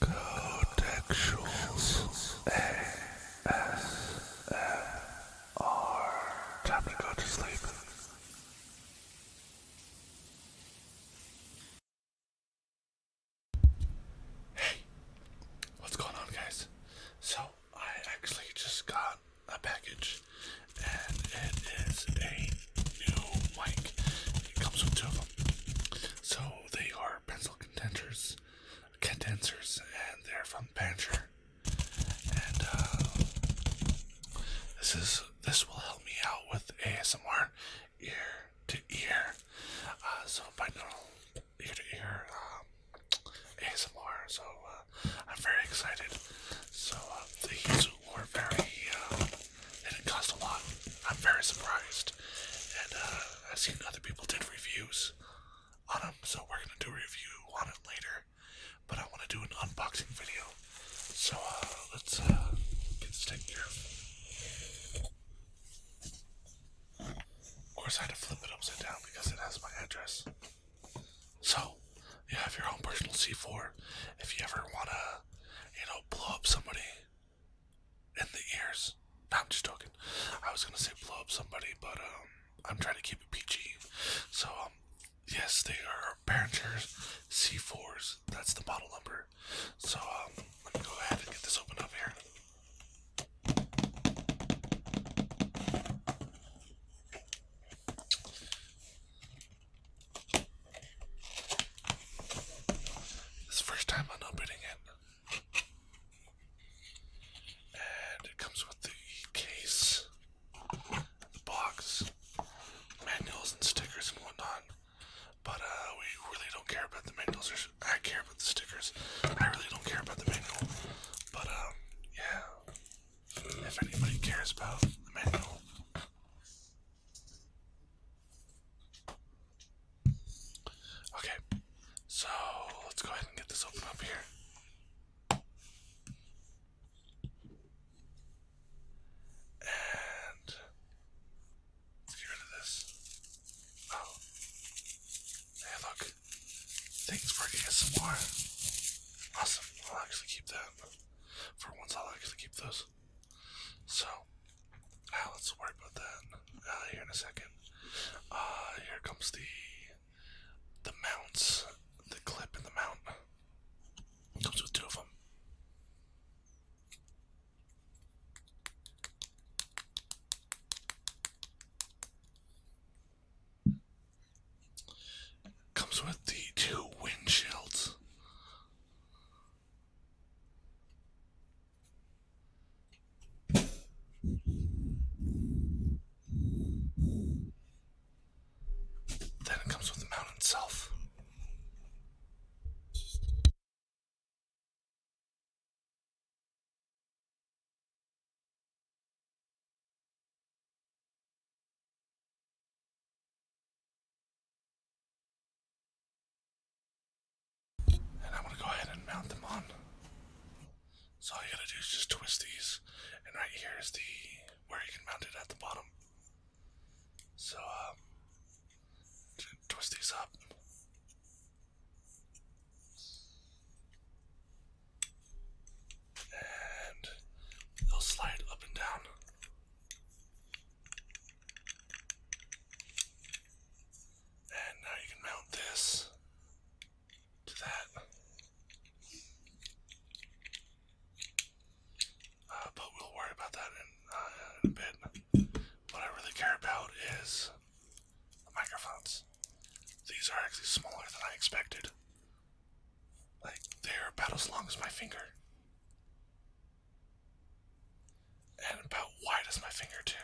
Codexuals Hey, what's going on, guys? So, I actually just got a package, and it is a new mic. It comes with two of them. So they are pencil contenders, condensers, and they're from Banter. And uh, this is this will help me out with ASMR ear to ear. Uh, so binaural ear to ear um, ASMR. So uh, I'm very excited. So uh, these were very. Uh, and it cost a lot. I'm very surprised, and uh, I've seen other people did reviews on them, so we're gonna do a review on it later. But I want to do an unboxing video, so uh, let's uh, get this taken Of course, I had to flip it upside down because it has my address. So, you have your own personal C4. If you ever want to, you know, blow up somebody in the ears. I'm just joking. I was going to say blow up somebody, but um, I'm trying to keep it PG. So, um, yes, they are Behringer's C4s. That's the model number. So, um, let me go ahead and get this opened up here. It's the first time I'm opening it. And it comes with the case, the box, manuals and stickers and whatnot. But uh, we really don't care about the manuals. I care about the stickers. I really don't care about the manual. But um, yeah, if anybody cares about the manual. Okay, so let's go ahead and get this open up here. And get rid of this. Oh, hey, look. Things working some more. Awesome. I'll actually keep that. For once, I'll actually keep those. So, now ah, let's work with that uh, here in a second. Ah, here comes the the mounts, the clip and the mount. comes with two of them. Comes with the two windshields. Then it comes with the mount itself. And I'm gonna go ahead and mount them on. So all you gotta do is just twist these, and right here is the where you can mount it at the bottom. So um, twist these up. And they'll slide up and down. And now you can mount this to that. Uh, but we'll worry about that uh, in a bit. What I really care about is microphones. These are actually smaller than I expected. Like, they're about as long as my finger. And about wide as my finger, too.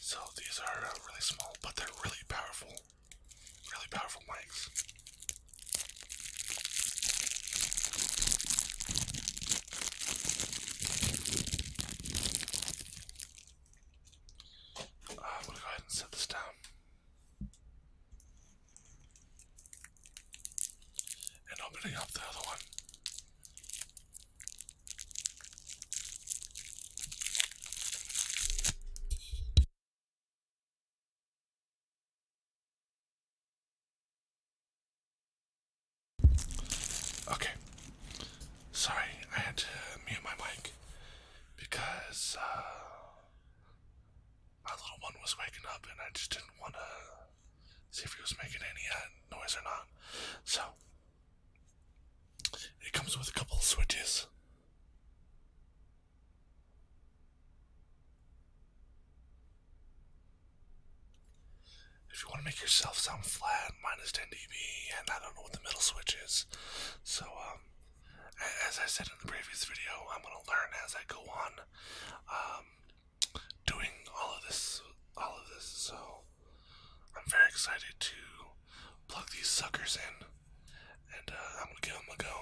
So these are uh, really small, but they're really powerful. Really powerful mics. I'm going to go ahead and set this down. And opening up the other one. Okay. Sorry, I had to mute my mic because uh, my little one was waking up and I just didn't want to see if he was making any uh, noise or not. So, it comes with a couple of switches. If you want to make yourself sound flat, minus 10 dB, and I don't know what the middle switch is. So, um, as I said in the previous video, I'm going to learn as I go on, um, doing all of this, all of this. So, I'm very excited to plug these suckers in, and uh, I'm going to give them a go.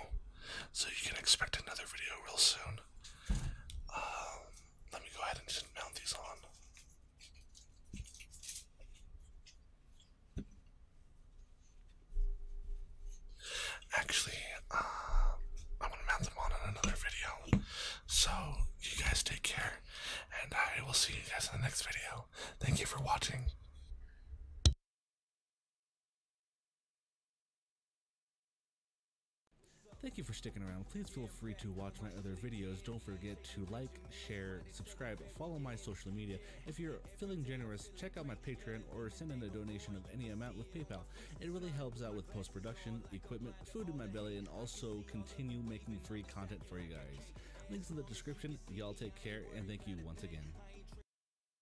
So you can expect another video real soon. Um, let me go ahead and mount these on. Actually, uh, I'm to mount them on in another video. So, you guys take care, and I will see you guys in the next video. Thank you for watching. Thank you for sticking around. Please feel free to watch my other videos. Don't forget to like, share, subscribe, follow my social media. If you're feeling generous, check out my Patreon or send in a donation of any amount with PayPal. It really helps out with post production, equipment, food in my belly, and also continue making free content for you guys. Links in the description. Y'all take care, and thank you once again.